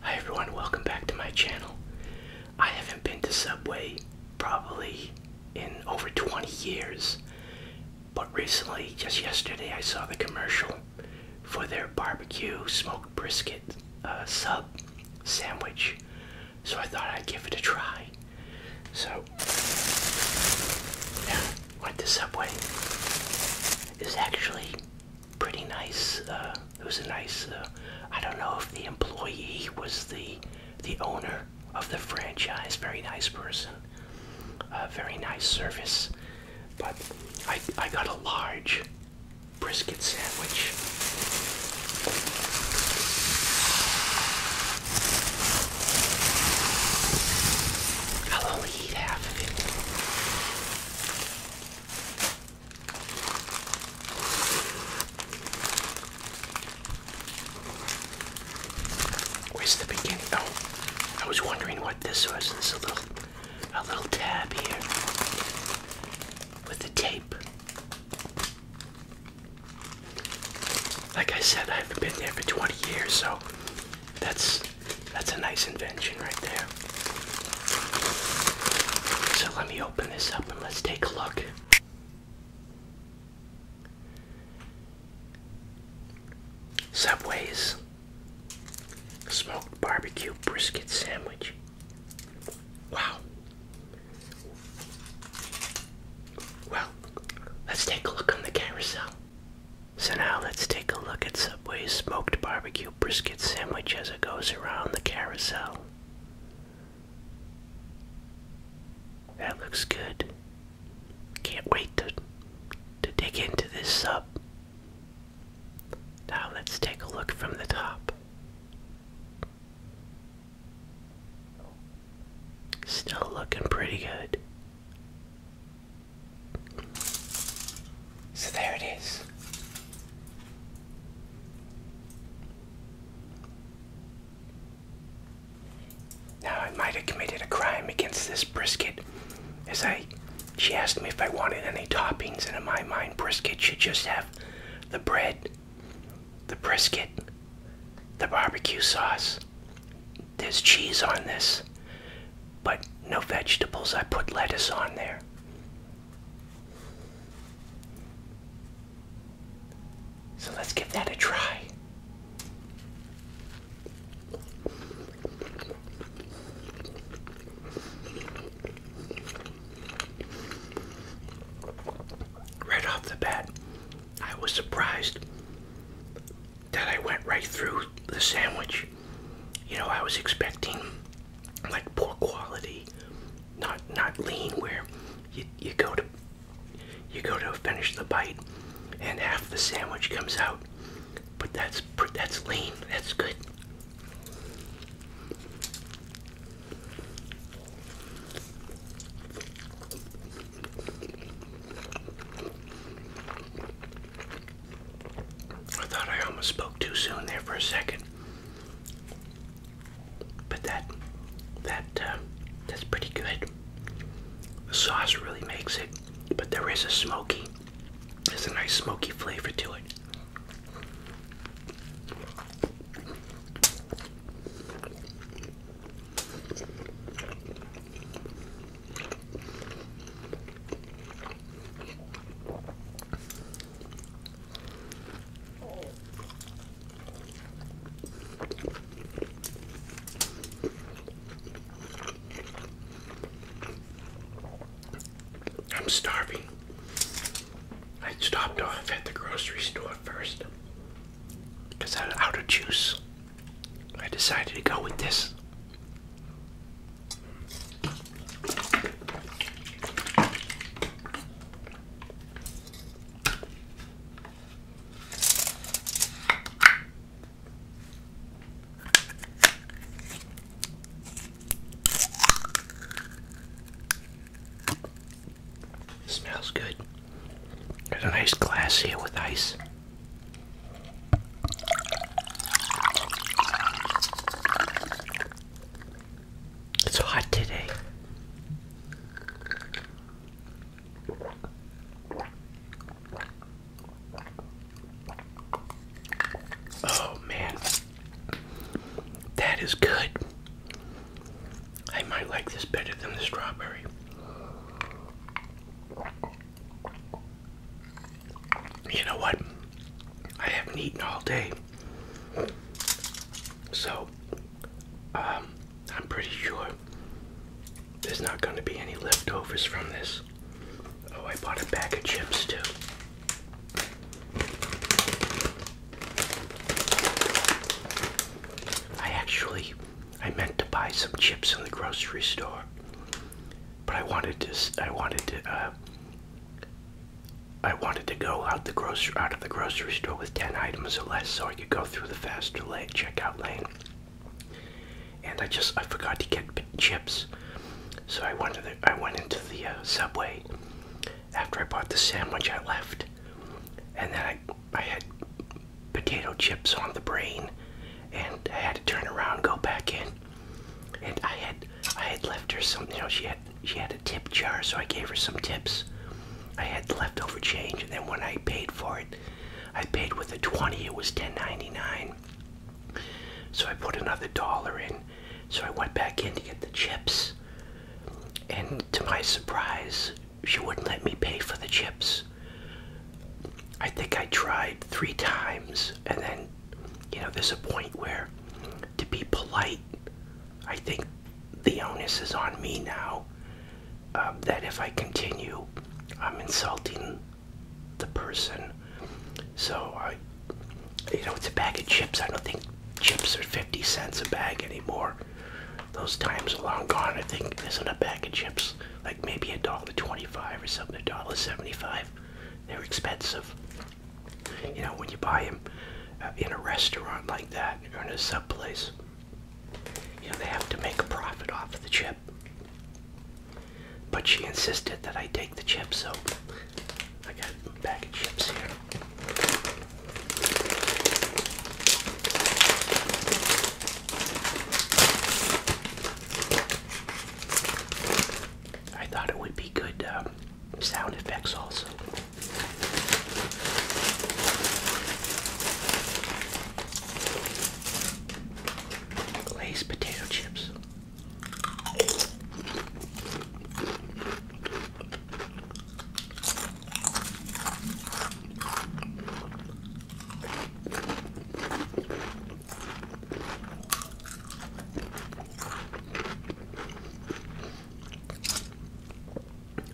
Hi everyone, welcome back to my channel. I haven't been to Subway probably in over 20 years, but recently, just yesterday, I saw the commercial for their barbecue smoked brisket uh, sub sandwich, so I thought I'd give it a try. So, yeah, went to Subway. Is actually pretty nice. Uh, it was a nice. Uh, I don't know if the employee was the the owner of the franchise. Very nice person. Uh, very nice service. But I I got a large brisket sandwich. I'll only eat half of it. Where's the beginning? Oh, I was wondering what this was. This a little, a little tab here with the tape. Like I said, I haven't been there for 20 years, so that's that's a nice invention right there. So let me open this up and let's take a look. Subway's smoked barbecue brisket sandwich. Wow. Well, let's take a look on the carousel. So now let's take a look at Subway's smoked barbecue brisket sandwich as it goes around the carousel. That looks good. Can't wait to to dig into this sub. Now let's take a look from the top. Still looking pretty good. So there it is. Now I might have committed a crime against this brisket as I she asked me if I wanted any toppings and in my mind brisket should just have the bread, the brisket, the barbecue sauce. There's cheese on this but no vegetables. I put lettuce on there. So let's give that a try. Right off the bat, I was surprised that I went right through the sandwich. You know, I was expecting like poor quality, not not lean where you you go to you go to finish the bite and half the sandwich comes out. But that's that's lean. That's good. I thought I almost spoke too soon there for a second. But that, that, uh, that's pretty good. The sauce really makes it, but there is a smoky, there's a nice smoky flavor to it. I'm starving. I stopped off at the grocery store first because I'm out of juice. I decided to go with this. Smells good. There's a nice glass here with ice. It's hot today. Oh man, that is good. I might like this better than the strawberry. You know what? I haven't eaten all day. So, um, I'm pretty sure there's not going to be any leftovers from this. Oh, I bought a bag of chips too. I actually, I meant to buy some chips in the grocery store but I wanted to I wanted to uh, I wanted to go out the grocery out of the grocery store with ten items or less so I could go through the faster lane checkout lane. And I just I forgot to get chips, so I went to the, I went into the uh, subway. After I bought the sandwich, I left, and then I I had potato chips on the brain, and I had to turn around, go back in, and I had I had left her something. she had she had a tip jar so I gave her some tips I had leftover change and then when I paid for it I paid with a 20 it was 10.99 so I put another dollar in so I went back in to get the chips and to my surprise she wouldn't let me pay for the chips I think I tried three times and then, you know, there's a point where to be polite, I think the onus is on me now um, that if I continue, I'm insulting the person. So, I, you know, it's a bag of chips. I don't think chips are 50 cents a bag anymore. Those times are long gone. I think, isn't a bag of chips like maybe a dollar twenty-five or something, a dollar seventy-five. They're expensive. You know, when you buy them uh, in a restaurant like that or in a sub place, you know, they have to make a profit off the chip. But she insisted that I take the chips, so I got a bag of chips here. I thought it would be good um, sound effects also. Lay's potato chips.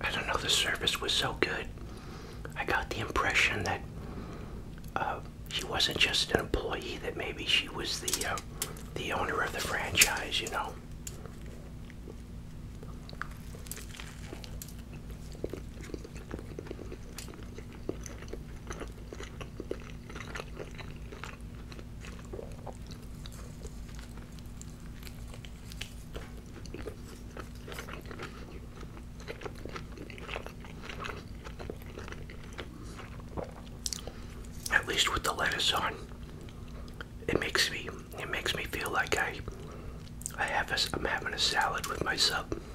I don't know, the service was so good. I got the impression that uh, she wasn't just an employee, that maybe she was the, uh, the owner of the franchise, you know. At least with the lettuce on, it makes me it makes me feel like I I have a, I'm having a salad with my sub.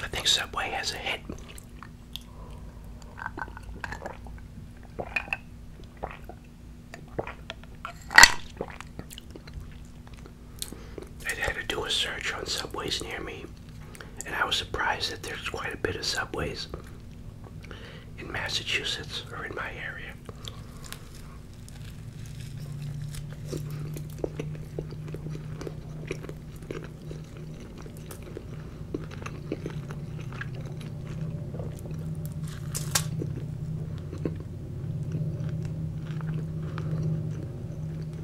I think Subway has a hit. I had to do a search on subways near me, and I was surprised that there's quite a bit of subways in Massachusetts or in my area.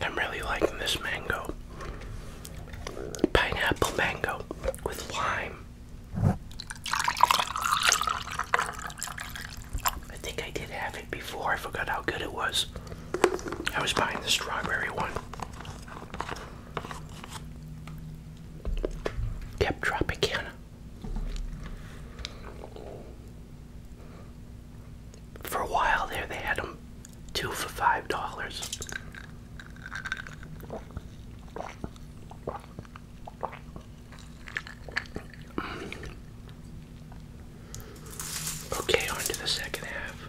I'm really liking this mango. Pineapple mango with lime. I think I did have it before. I forgot how good it was. I was buying the strawberry one. Kept Tropicana. For a while there, they had them two for five dollars. Okay, on to the second half.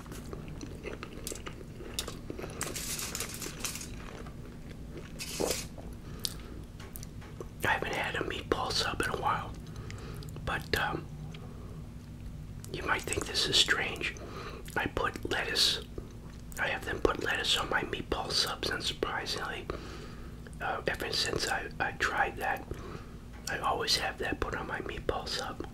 I haven't had a meatball sub in a while, but um, you might think this is strange. I put lettuce, I have them put lettuce on my meatball subs, and surprisingly, uh, ever since I, I tried that, I always have that put on my meatball sub.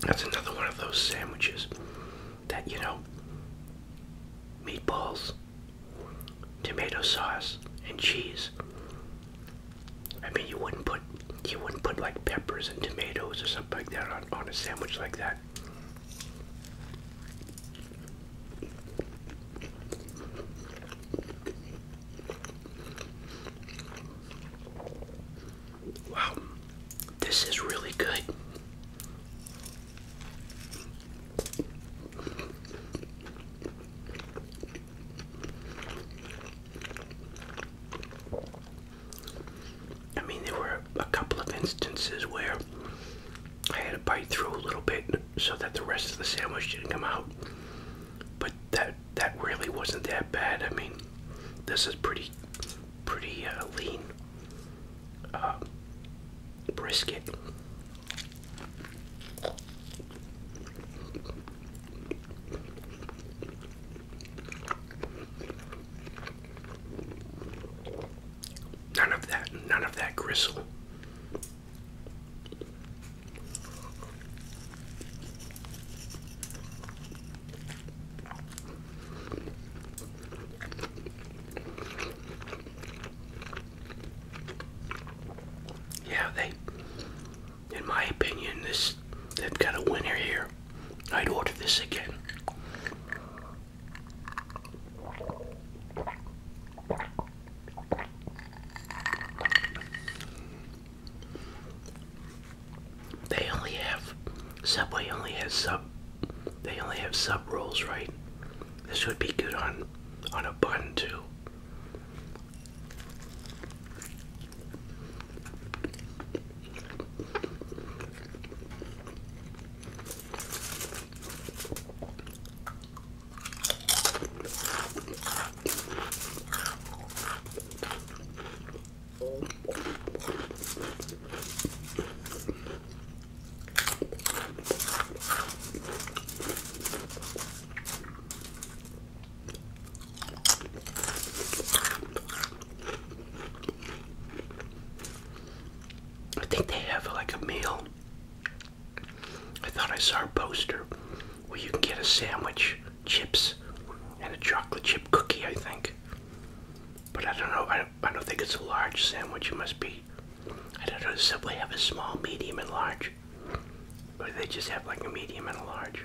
That's another one of those sandwiches that, you know, meatballs, tomato sauce, and cheese. I mean, you wouldn't put you wouldn't put like peppers and tomatoes or something like that on, on a sandwich like that. Wow, this is really good. I mean, there were a couple of instances where I had to bite through a little bit so that the rest of the sandwich didn't come out. But that that really wasn't that bad. I mean, this is pretty pretty uh, lean uh, brisket. None of that, none of that gristle. Yeah, they, in my opinion, this, they've got a winner here. I'd order this again. They only have Subway only has sub they only have sub rolls, right? This would be good on on a bun too. I think they have like a meal I thought I saw a poster where you can get a sandwich, chips, and a chocolate chip cookie, I think. But I don't know, I don't, think it's a large sandwich, it must be. I don't know, does Subway have a small, medium, and large? Or they just have like a medium and a large?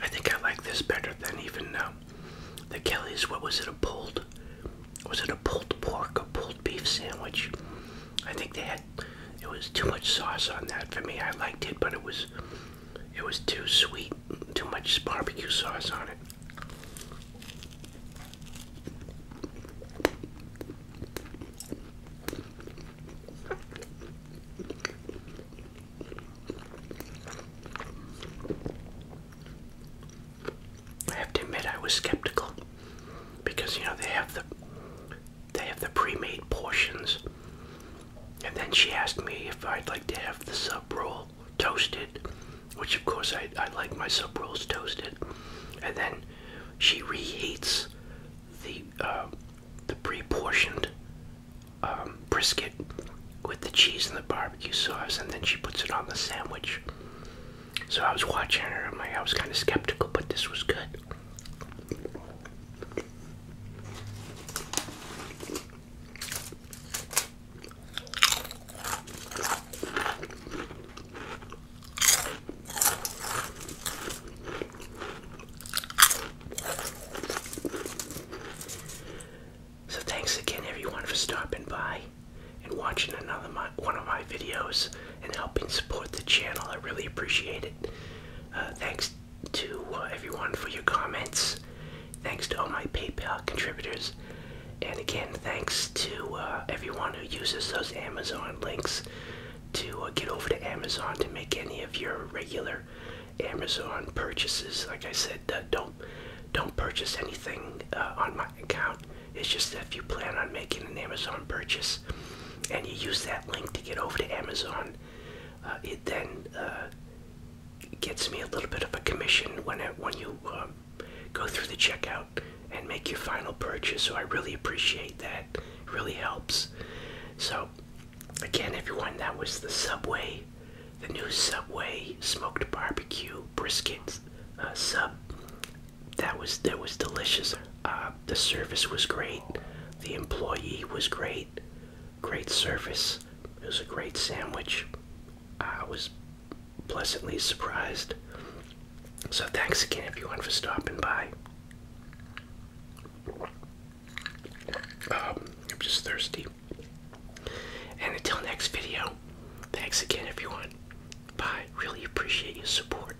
I think I like this better than even uh, the Kelly's. What was it? A pulled? Was it a pulled pork, a pulled beef sandwich? I think they had. It was too much sauce on that for me. I liked it, but it was it was too sweet, too much barbecue sauce on it. I have to admit I was skeptical because you know they have the they have the pre-made portions and then she asked me if I'd like to have the sub roll toasted, which of course I, I like my sub rolls toasted. And then she reheats the uh, the preportioned um, brisket with the cheese and the barbecue sauce, and then she puts it on the sandwich. So I was watching her. I was kind of skeptical, but this was good. So thanks again everyone for stopping by and watching another one of my videos and helping support the channel. I really appreciate it. Uh, thanks to uh, everyone for your comments. Thanks to all my PayPal contributors. And again, thanks to uh, everyone who uses those Amazon links to uh, get over to Amazon to make any of your regular Amazon purchases. Like I said, don't don't purchase anything on my account. It's just that if you plan on making an Amazon purchase and you use that link to get over to Amazon, uh, it then uh, gets me a little bit of a commission when it, when you uh, go through the checkout and make your final purchase. So I really appreciate that. It really helps. So again, everyone, that was the Subway, the new Subway smoked barbecue brisket sub. That was that was delicious. Uh, the service was great. The employee was great. Great service. It was a great sandwich. I was pleasantly surprised. So thanks again, everyone, for stopping by. Um, I'm just thirsty. And until next video, thanks again, everyone. Bye. Really appreciate your support.